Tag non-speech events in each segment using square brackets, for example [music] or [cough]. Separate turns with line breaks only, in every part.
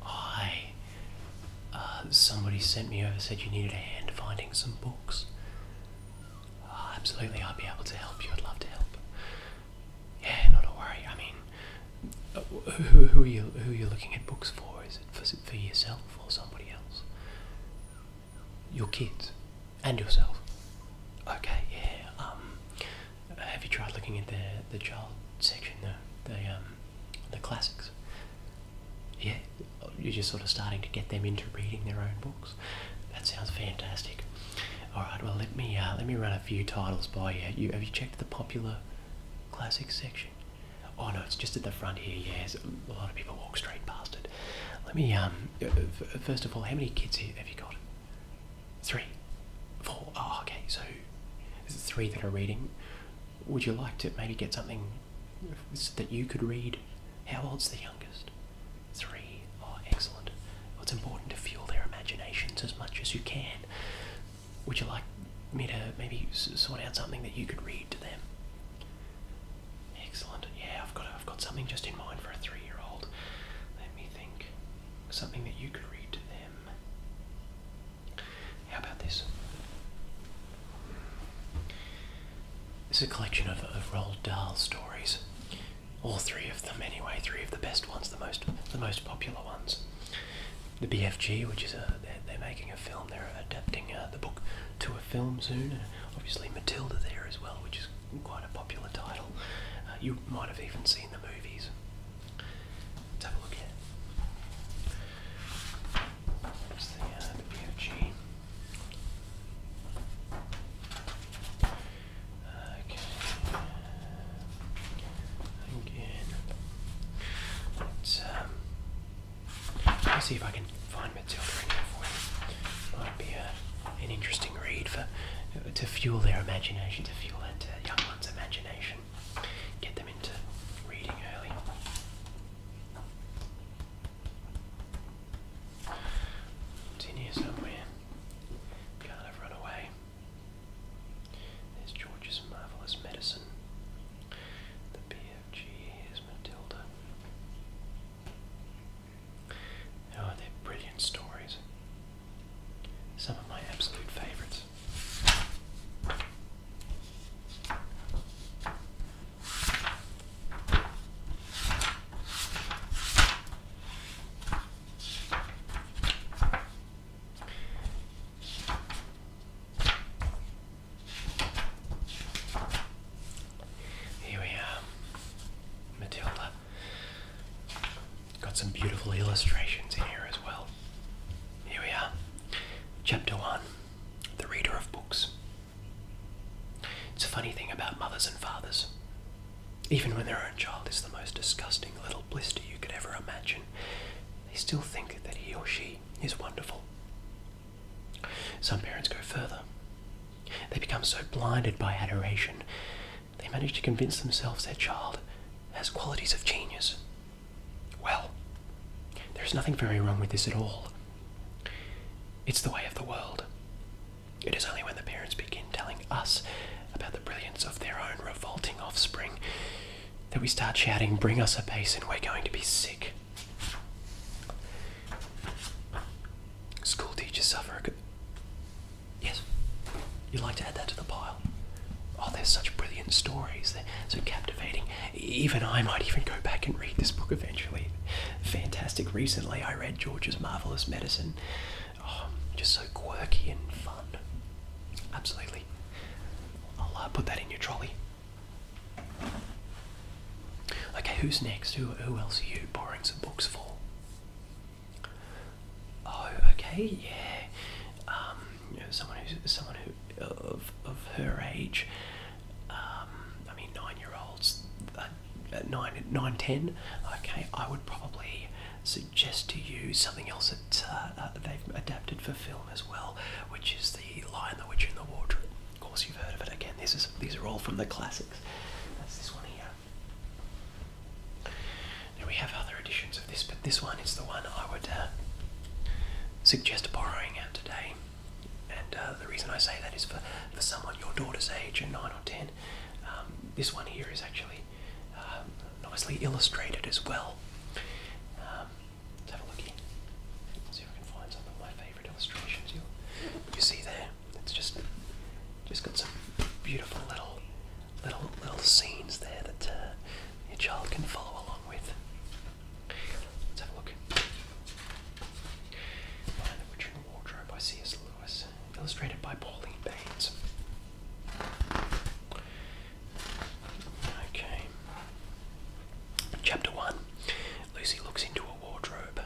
Hi. Uh, somebody sent me over, said you needed a hand finding some books. Uh, absolutely, I'd be able to help you. I'd love to help. Yeah, not a worry. I mean, uh, who, are you? Who are you looking at books for? Is it for yourself or somebody else? your kids and yourself. Okay, yeah. Um, have you tried looking at the the child section, the the um, the classics? Yeah, you're just sort of starting to get them into reading their own books. That sounds fantastic. All right, well let me uh, let me run a few titles by you. you. Have you checked the popular classics section? Oh no, it's just at the front here. Yes, a lot of people walk straight past it. Let me, um, uh, uh, first of all, how many kids have you got? Three? Four? Oh, okay, so there's three that are reading. Would you like to maybe get something that you could read? How old's the youngest? Three. Oh, excellent. it's important to fuel their imaginations as much as you can. Would you like me to maybe sort out something that you could read to them? Excellent. Yeah, I've got I've got something just in mind for a three-year-old. Let me think. Something that you could read to them. How about this? This is a collection of, of Roald Dahl stories. All three of them, anyway. Three of the best ones, the most the most popular ones. The BFG, which is a they're, making a film. They're adapting uh, the book to a film soon obviously Matilda there as well, which is quite a popular title. Uh, you might have even seen the movies. Let's have a look here. There's the, uh, the BFG. Okay. Again. Let's um, see if I can find on Might be uh, an interesting read for to fuel their imagination, to fuel that uh, young one's imagination. Get them into reading early. It's in here somewhere. Can't have run away. There's George's marvelous medicine. The BFG is Matilda. Oh, they're brilliant stories. Some of my absolute favourites. Here we are, Matilda. Got some beautiful illustrations in here as well. Here we are, Chapter 1 The Reader of Books. It's a funny thing about mothers and fathers. Even when their own child is the most disgusting little blister you could ever imagine, they still think that he or she is wonderful. Some parents go further. They become so blinded by adoration, they manage to convince themselves their child has qualities of genius. Well, there is nothing very wrong with this at all. It's the way of the world. It is only when the parents begin telling us about the brilliance of their own revolting offspring that we start shouting, Bring us a basin, we're going to be sick. School teachers suffer. Yes, you'd like to add that to the pile. Oh, they're such brilliant stories. They're so captivating. Even I might even go back and read this book eventually. Fantastic. Recently, I read George's Marvelous Medicine. Oh, just so quirky and fun. Absolutely. I'll uh, put that in your trolley. Okay, who's next? Who, else are you borrowing some books for? Oh, okay, yeah. Um, someone who's someone who of of her age. Um, I mean, nine-year-olds, uh, nine, nine, ten. Okay, I would probably suggest to you something else that uh, uh, they've adapted for film as well, which is the Lion, the Witch, and the Wardrobe. Of course, you've heard of it. Again, these are all from the classics. That's this one here. we have other editions of this, but this one is the one I would uh, suggest borrowing out today. And uh, the reason I say that is for, for someone your daughter's age, and 9 or 10, um, this one here is actually um, nicely illustrated as well. Um, let's have a look here. see if I can find some of my favourite illustrations. you see there. It's just just got some beautiful little little little scenes there that uh, your child can follow along with. Let's have a look. Behind the Witch Wardrobe by C.S. Lewis, illustrated by Pauline Baines. Okay. Chapter 1 Lucy looks into a wardrobe.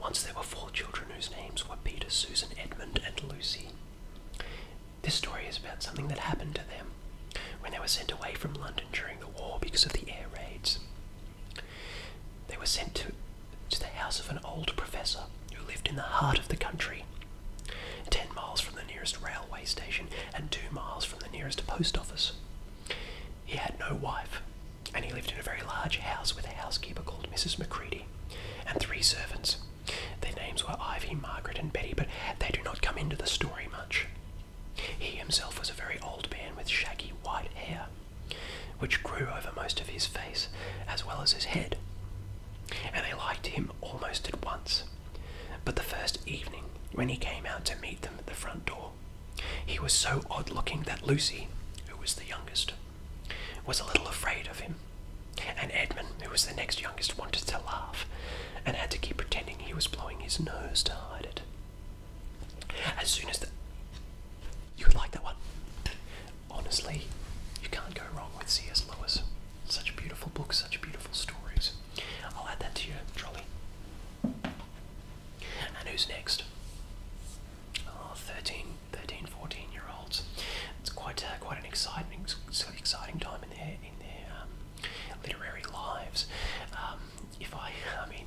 Once there were four children whose names were Peter, Susan, Edmund, and Lucy. This story is about something that happened to them when they were sent away from London during the war because of the air raids. They were sent to, to the house of an old professor who lived in the heart of the country, ten miles from the nearest railway station and two miles from the nearest post office. He had no wife and he lived in a very large house with a housekeeper called Mrs. Macready and three servants. Their names were Ivy, Margaret, and Betty, but they do not come into the story much. He himself was a very old man with shaggy white hair, which grew over most of his face as well as his head, and they liked him almost at once. But the first evening, when he came out to meet them at the front door, he was so odd looking that Lucy, who was the youngest, was a little afraid of him, and Edmund, who was the next youngest, wanted to laugh and had to keep pretending he was blowing his nose to hide it. As soon as the. You like that one? Honestly, you can't go wrong with C.S. Lewis. Such beautiful books, such beautiful stories. I'll add that to your trolley. And who's next? uh, 13, 14 year olds. It's quite uh, quite an exciting exciting time in their in their um, literary lives. Um, if I, I mean,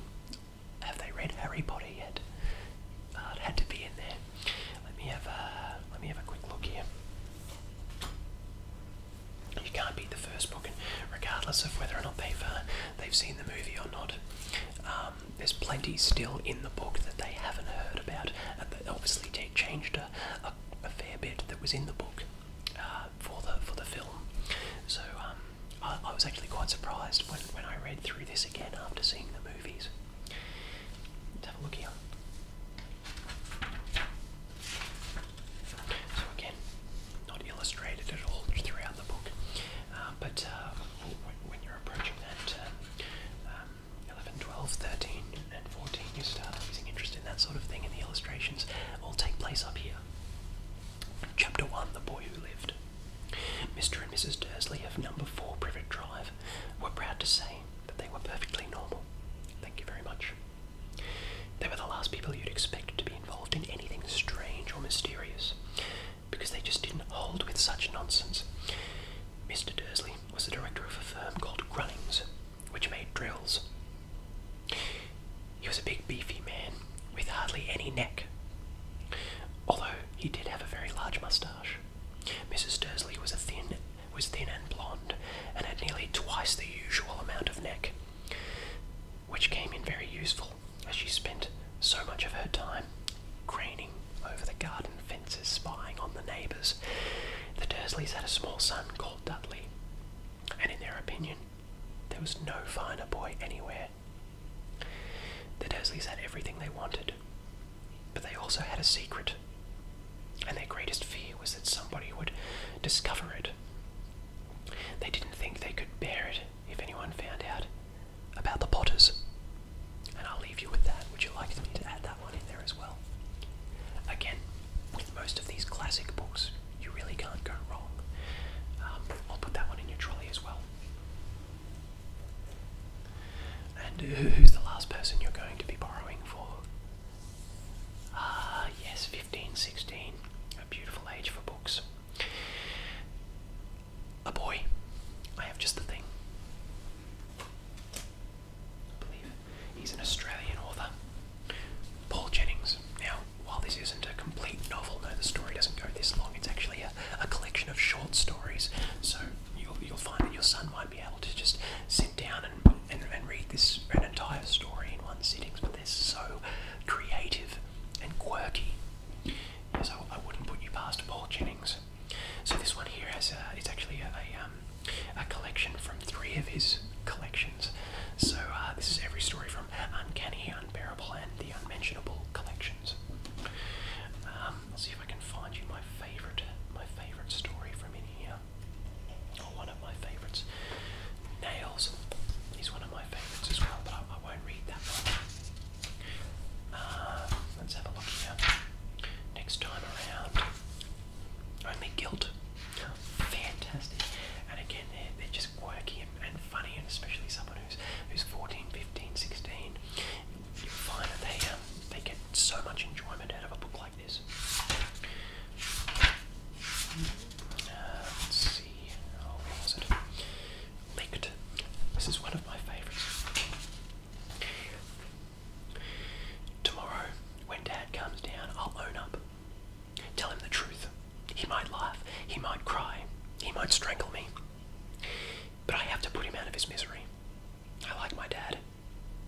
have they read Harry Potter yet? Uh, had to be in there. Let me have a let me have a quick look here. You can't beat the first book, and regardless of whether or not they've uh, they've seen the movie or not, um, there's plenty still in the book that they haven't heard about, and they obviously changed a, a, fair bit that was in the book uh, for the for the film. So um, I, was actually quite surprised when when I read through this again after seeing the movies. Let's have a look here. So again, not illustrated at all throughout the book, uh, but uh, when you're approaching that um, um, 11, 12, 13, and 14, you start losing interest in that sort of thing, and the illustrations all take place up here. Chapter 1 The Boy Who Lived. Mr. and Mrs. Dursley of number 4 Privet Drive were proud to say that they were perfectly normal. Thank you very much. They were the last people you'd expect to be involved in anything strange or mysterious because they just didn't hold with such nonsense. Mr. Dursley was the director of a firm called Grunnings, which made drills. He was a big, beefy man with hardly any neck, although he did have a very large moustache. Mrs. Dursley was thin, was thin and blonde, and had nearly twice the usual amount of neck which came in very useful as she spent so much of her time craning over the garden fences, spying on the neighbours. The Dursleys had a small son called Dudley, and in their opinion, there was no finer boy anywhere. The Dursleys had everything they wanted, but they also had a secret, and their greatest fear was that somebody would discover it. They didn't think they could bear it if anyone found out about the Potters. And I'll leave you with that. Would you like me to add that one in there as well? Again, with most of these classic books, you really can't go wrong. Um, I'll put that one in your trolley as well. And who's the last person you're going to be borrowing for? Ah, yes, fifteen, A beautiful age for books. A boy. I have just the thing. I believe he's an Australian author. Paul Jennings. Now, while this isn't a complete novel, no, the story doesn't go this long. It's actually a, a collection of short stories. So you'll, you'll find that your son might be able to just sit down and, and, and read this an entire story in one sitting. But they're so creative and quirky. So I wouldn't put you past Paul Jennings. So this one here has uh, it's actually um, a, collection from three of his collections. So uh, this is every story from Uncanny, Unbearable, and the Unmentionable collections. Um, let's see if I can find you my favorite, my favorite story from in here, or one of my favorites. Nails is one of my favorites as well, but I won't read that one. Uh, let's have a look here. Next time around, only guilt. Fantastic. And again, they're, just quirky and, funny, and especially someone who's who's 14, 15, 16. you find that they, um, they get so much enjoyment out of a book like this. Uh, let's see. Oh, where licked. This is one of my favourites. Tomorrow, when Dad comes down, I'll own up. Tell him the truth. He might laugh, he might cry, he might strangle me. But I have to put him out of his misery. I like my dad.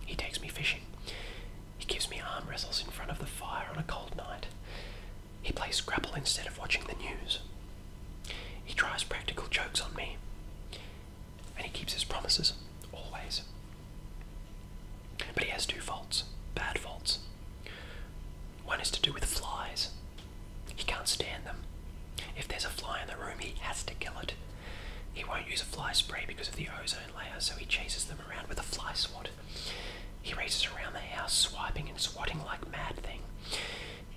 He takes me fishing. He gives me arm wrestles in front of the fire on a cold night. He plays Scrabble instead of watching the news. He tries practical jokes on me. And he keeps his promises, always. But he has two faults, bad faults. One is to do with flies. He can't stand them. If there's a fly in the room, he has to kill it. He won't use a fly spray because of the ozone layer, so he chases them around with a fly swat. He races around the house, swiping and swatting like mad thing.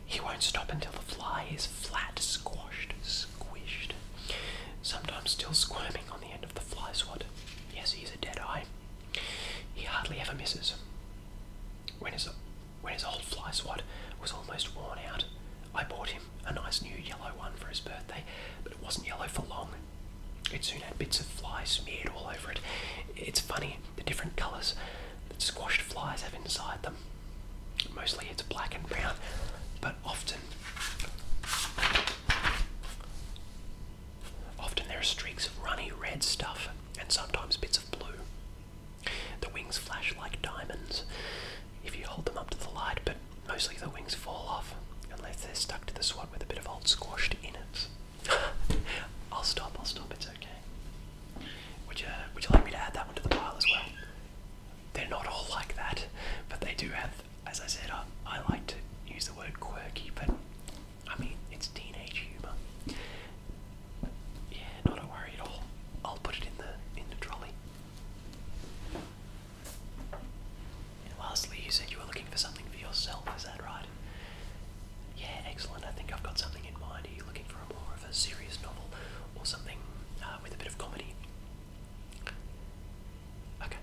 He won't stop until the fly is flat, squashed, squished. Sometimes still squirming on the end of the fly swat. Yes, he's a dead eye. He hardly ever misses. When his, when his old fly swat was almost worn out, I bought him a nice new yellow one for his birthday, but it wasn't yellow for long. It soon had bits of fly smeared all over it. It's funny, the different colours that squashed flies have inside them. Mostly it's black and brown, but often often there are streaks of runny red stuff and sometimes bits of blue. The wings flash like diamonds if you hold them up to the light, but mostly the wings fall off unless they're stuck to the swat with a bit of old squashed in it. [laughs] I'll stop, I'll stop, it's okay. Would you Would you like me to add that one to the pile as well? They're not all like that, but they do have. As I said, I, like to use the word quirky, but I mean it's teenage humor. Yeah, not a worry at all. I'll put it in the in the trolley. lastly, you said you were looking for something for yourself. Is that right? Yeah, excellent. I think I've got something in mind. Are you looking for a more of a serious novel or something uh, with a bit of comedy? Okay.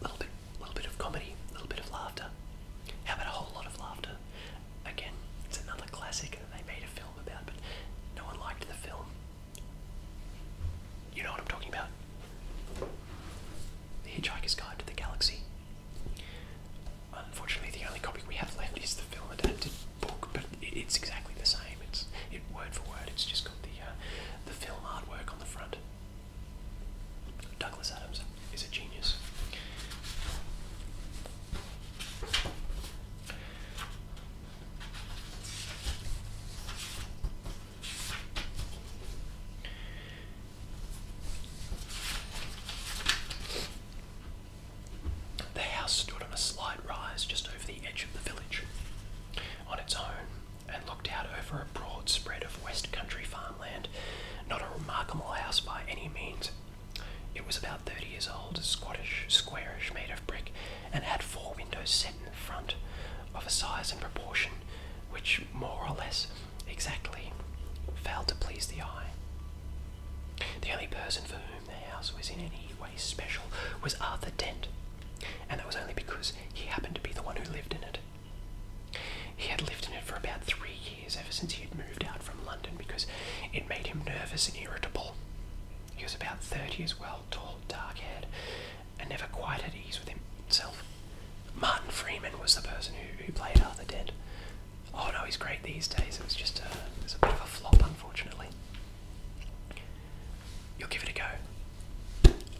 Little bit, little bit of comedy, a little bit of laughter. How about a whole lot of laughter? Again, it's another classic that they made a film about, but no one liked the film. You know what I'm talking about? The Hitchhiker's Guide to the Galaxy. Unfortunately, the only copy we have left is the film adapted book, but it's exactly the same. It's word for word. It's just got the uh, the film artwork on the front. Douglas Adams is a genius. The house stood on a slight rise just over the edge of the village on its own and looked out over a broad spread of west country farmland. Not a remarkable house by any means. It was about 30 years old, squattish, squarish, made of brick, and had four windows set in front of a size and proportion which more or less exactly failed to please the eye. The only person for whom the house was in any way special was Arthur Dent, and that was only because he happened to be the one who lived in it. He had lived in it for about three years ever since he had moved out from London because it made him nervous and irritable. He was about 30 as well, tall, dark haired, and never quite at ease with himself. Martin Freeman was the person who, who played Arthur Dent, Oh no, he's great these days. It was just a, bit of a flop, unfortunately. You'll give it a go.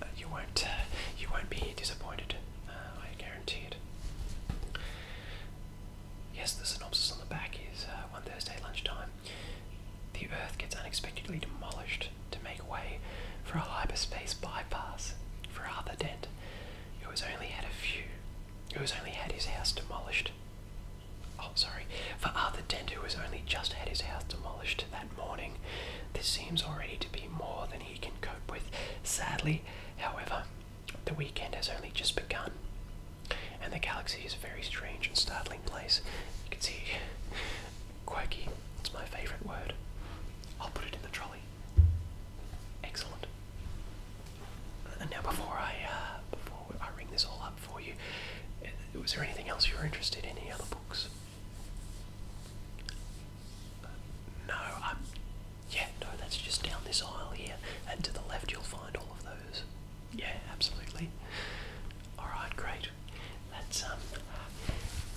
Uh, you won't. Uh, you won't be disappointed. Uh, I guarantee it. Yes, the synopsis on the back is one Thursday lunchtime. The Earth gets unexpectedly demolished to make way for a hyperspace bypass for other Dent, who has only had a few who has only had his house demolished. Oh, sorry. For Arthur Dent, who has only just had his house demolished that morning, this seems already to be more than he can cope with. Sadly, however, the weekend has only just begun, and the galaxy is a very strange and startling place. You can see, quirky, it's my favourite word. I'll put it in the trolley. Excellent. And now, before I uh, before I ring this all up for you, uh, was there anything else you are interested in? Any other books? Uh, no. i yeah, no. That's just down this aisle here, and to the left you'll find all of those. Yeah, absolutely. All right, great. That's um,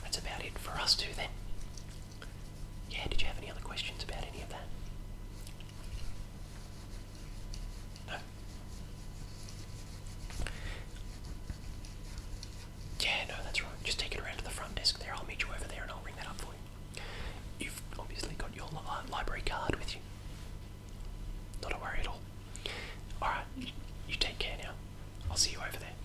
that's about it for us too then. Yeah, did you have any other questions about any of that? No? Yeah, no, that's right. Just take it around to the front desk there. I'll meet you over there and I'll ring that up for you. You've obviously got your uh, library card with you. Not a worry at all. Alright, you take care now. I'll see you over there.